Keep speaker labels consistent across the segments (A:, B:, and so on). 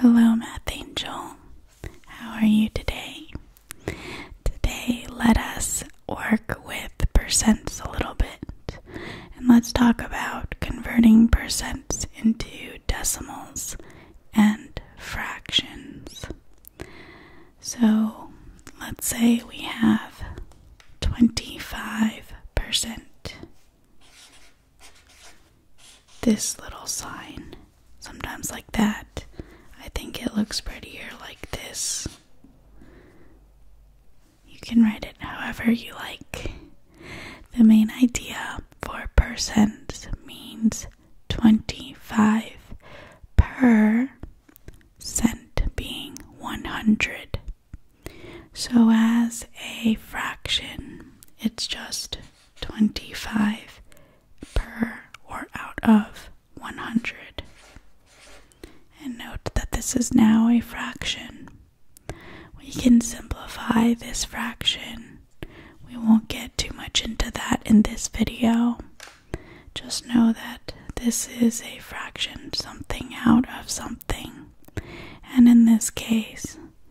A: Hello, Math Angel. How are you today? Today, let us work with percents a little bit and let's talk about converting percents into decimals and fractions. So, let's say we have 25% this little sign, sometimes like that. I think it looks prettier like this. You can write it however you like. The main idea for percent means 25 per cent being 100. So, as a fraction, it's just 25 per or out of 100. And note that this is now a fraction. We can simplify this fraction. We won't get too much into that in this video. Just know that this is a fraction, something out of something. And in this case,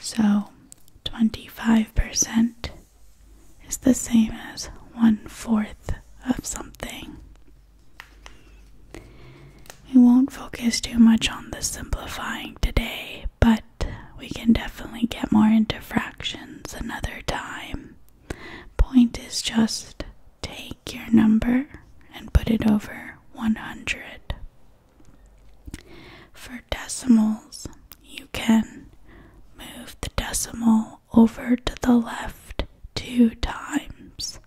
A: So 25% is the same as one fourth of something. We won't focus too much on the simplifying today, but we can definitely get more into fractions another time. Point is just take your number and put it over 100. For decimals, you can move the decimal over to the left two times.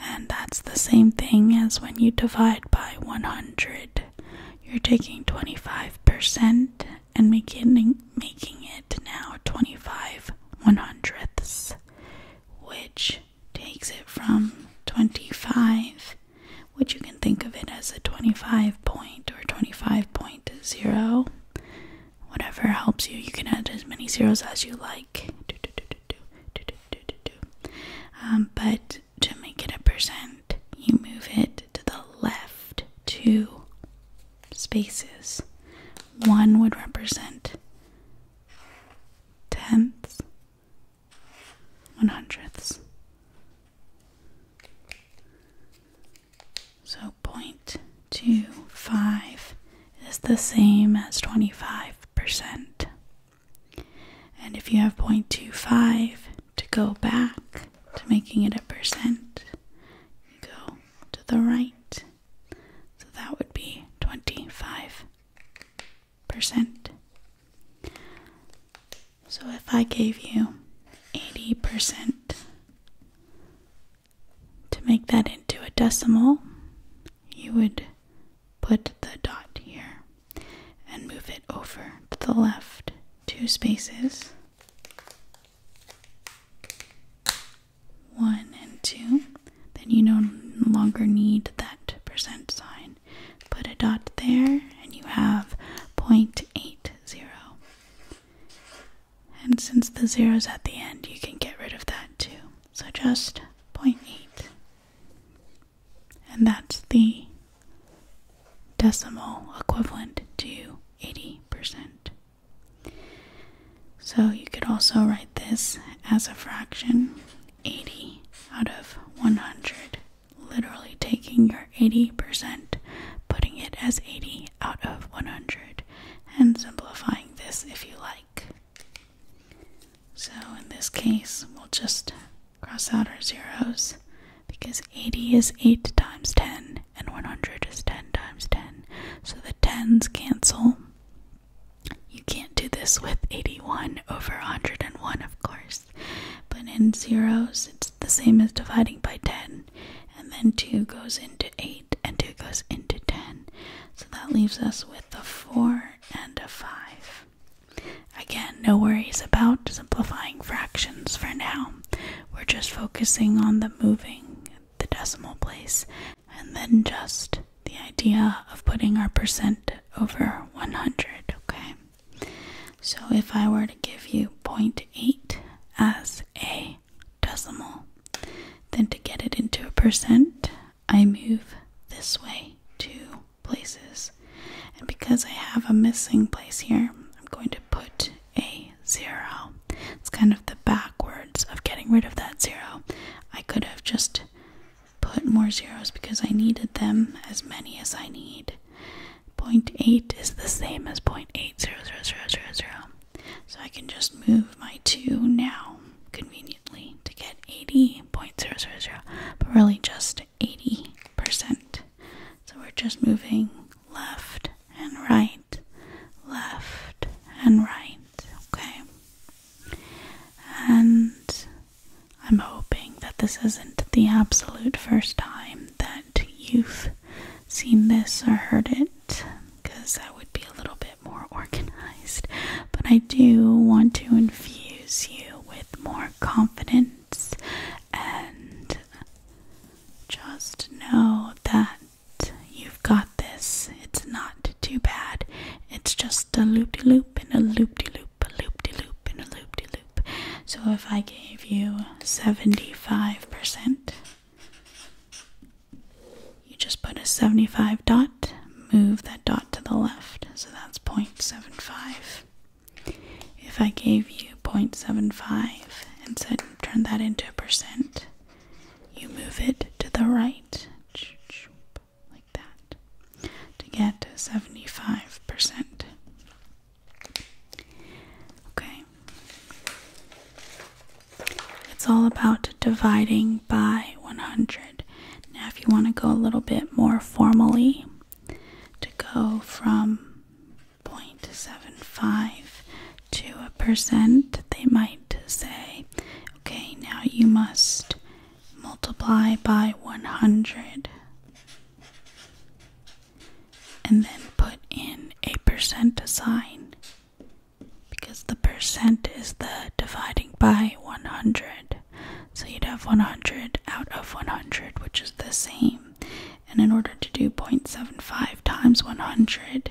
A: And that's the same thing as when you divide by 100. You're taking 25% and making, making it now 25 one hundredths, which takes it from 25 which you can think of it as a 25 point or 25.0, whatever helps you. You can add as many zeros as you like. but to make it a percent, you move it to the left two spaces. One would represent tenths, one hundredths. So point two five is the same as twenty five percent. And if you have point two five to go back to making it a percent, you go to the right. So that would be twenty five so if I gave you 80% to make that into a decimal, you would put the dot here and move it over to the left two spaces. One and two, then you no longer need that percent sign. Put a dot there, and you have 0.80. And since the zero is at the end, you can get rid of that too. So just 0.8. And that's the decimal equivalent to 80%. So you could also write this as a fraction. 80 out of 100. Literally taking your 80%, putting it as 80 out of 100, and simplifying this if you like. So in this case, we'll just cross out our zeros because 80 is 8 times 10 and 100 is 10 times 10. So the tens cancel. You can't do this with 81 over 101, of course, but in zeros it's the same as dividing by 10, and then 2 goes into 8 and 2 goes into 10. So that leaves us with a 4 and a 5. Again, no worries about simplifying fractions for now. We're just focusing on the moving the decimal place and then just the idea of putting our percent over 100, okay? So if I were to give you 0.8 as a decimal, then to get it into a percent, I move this way two places. And because I have a missing place here, I'm going to put a zero. It's kind of the backwards of getting rid of that zero. I could have just put more zeros because I needed them as many as I need. 0.8 is the same as 0.80000. So I can just move my 2 now conveniently to get 80.000, but really just 80%. So we're just moving left and right, left and right, okay? And I'm hoping that this isn't the absolute first time that you've seen this or heard it, because that would be a little bit more organized. But I do want to infuse you with more confidence and just know that you've got this. It's not too bad. It's just a loop de loop and a loop de loop, a loop de loop, and a loop de loop. So if I gave you 75%, you just put a 75 dot, move that dot to the left, so that's 0.75. If I gave you 0.75 and said turn that into a percent, you move it to the right, like that to get 75%. Okay. It's all about dividing by 100. Now, if you want to go a little bit more formally, to go from point seven five to a percent, they might say, okay, now you must multiply by 100 and then put in a percent sign because the percent is the dividing by 100 so you'd have 100 out of 100 which is the same and in order to do point seven five times 100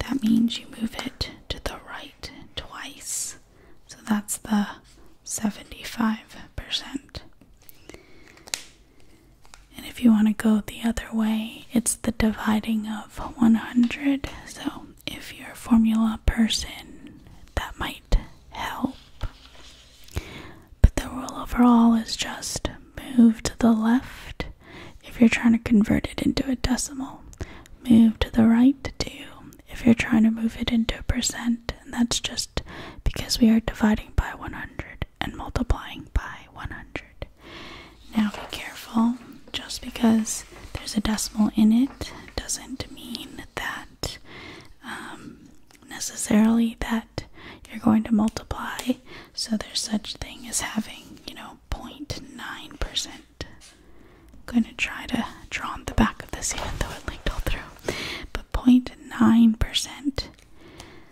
A: that means you move it to the right twice so that's the 75%. And if you want to go the other way, it's the dividing of 100. So if you're a formula person, that might help. But the rule overall is just move to the left if you're trying to convert it into a decimal move to the right to if you're trying to move it into a percent, and that's just because we are dividing by 100 and multiplying by 100. Now be careful, just because there's a decimal in it doesn't mean that um, necessarily that you're going to multiply. So there's such thing as having, you know, 0.9% I'm going to try to draw on the back of this even though it linked all through. But 0.9%.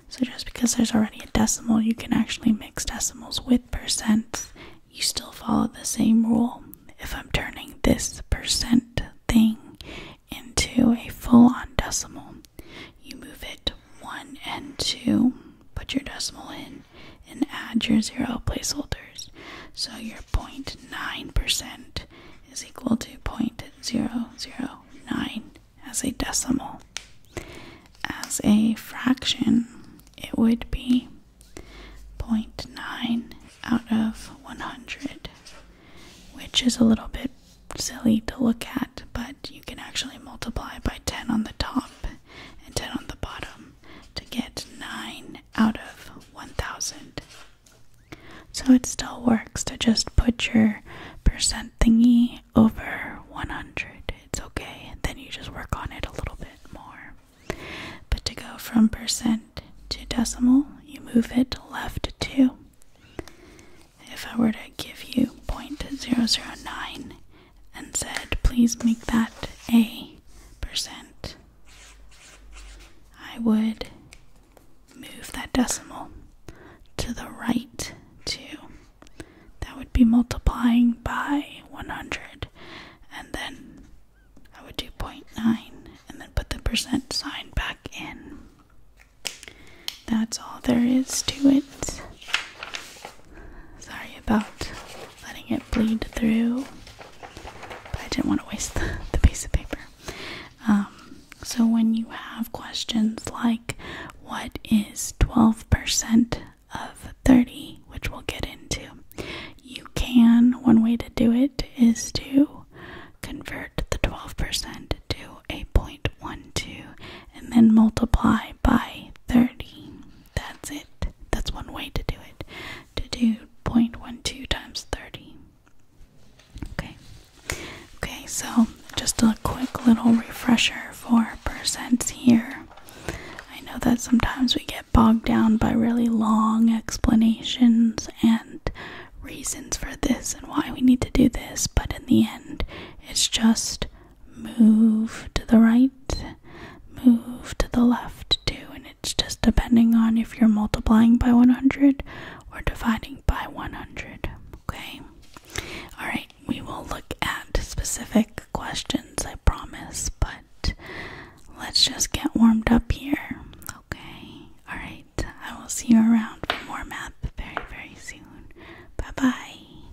A: So just because there's already a decimal, you can actually mix decimals with percents. You still follow the same rule. If I'm turning this percent thing into a full on decimal, you move it one and two put your decimal in and add your zero placeholders. So your 0.9% is equal to 0.009 as a decimal. As a fraction, it would be 0.9 out of 100, which is a little bit silly to look at, but you can actually multiply by 10 on the top and 10 on the bottom to get 9 out of 1000. So it still works to just put your percent thingy over 100. It's okay. Then you just work on it a little bit more. But to go from percent to decimal, you move it left to. If I were to give you 0.009, and said, please make that a percent, I would move that decimal to the right too. That would be multiplying by 100, and then I would do 0.9 and then put the percent sign back in. That's all there is to it. Sorry about letting it bleed through. But I didn't want to waste the, piece of paper. Um, so when you have questions like, what is 12% of 30, which we'll get into, you can, one way to do it is to convert the 12% to a 0.12 and then multiply by 30. That's it. That's one way to do it. To do 0.12 times 30. Okay. Okay, so just a quick little refresher for percents here. I know that sometimes we get bogged down by really long explanations and reasons for this and why we need to do this, but in the end, it's just move to the right, move to the left too. And it's just depending on if you're multiplying by 100 or dividing by 100. Okay? Alright, we will look at specific questions, I promise, but let's just get warmed up here. Okay? Alright, I will see you around for more math very, very soon. Bye bye.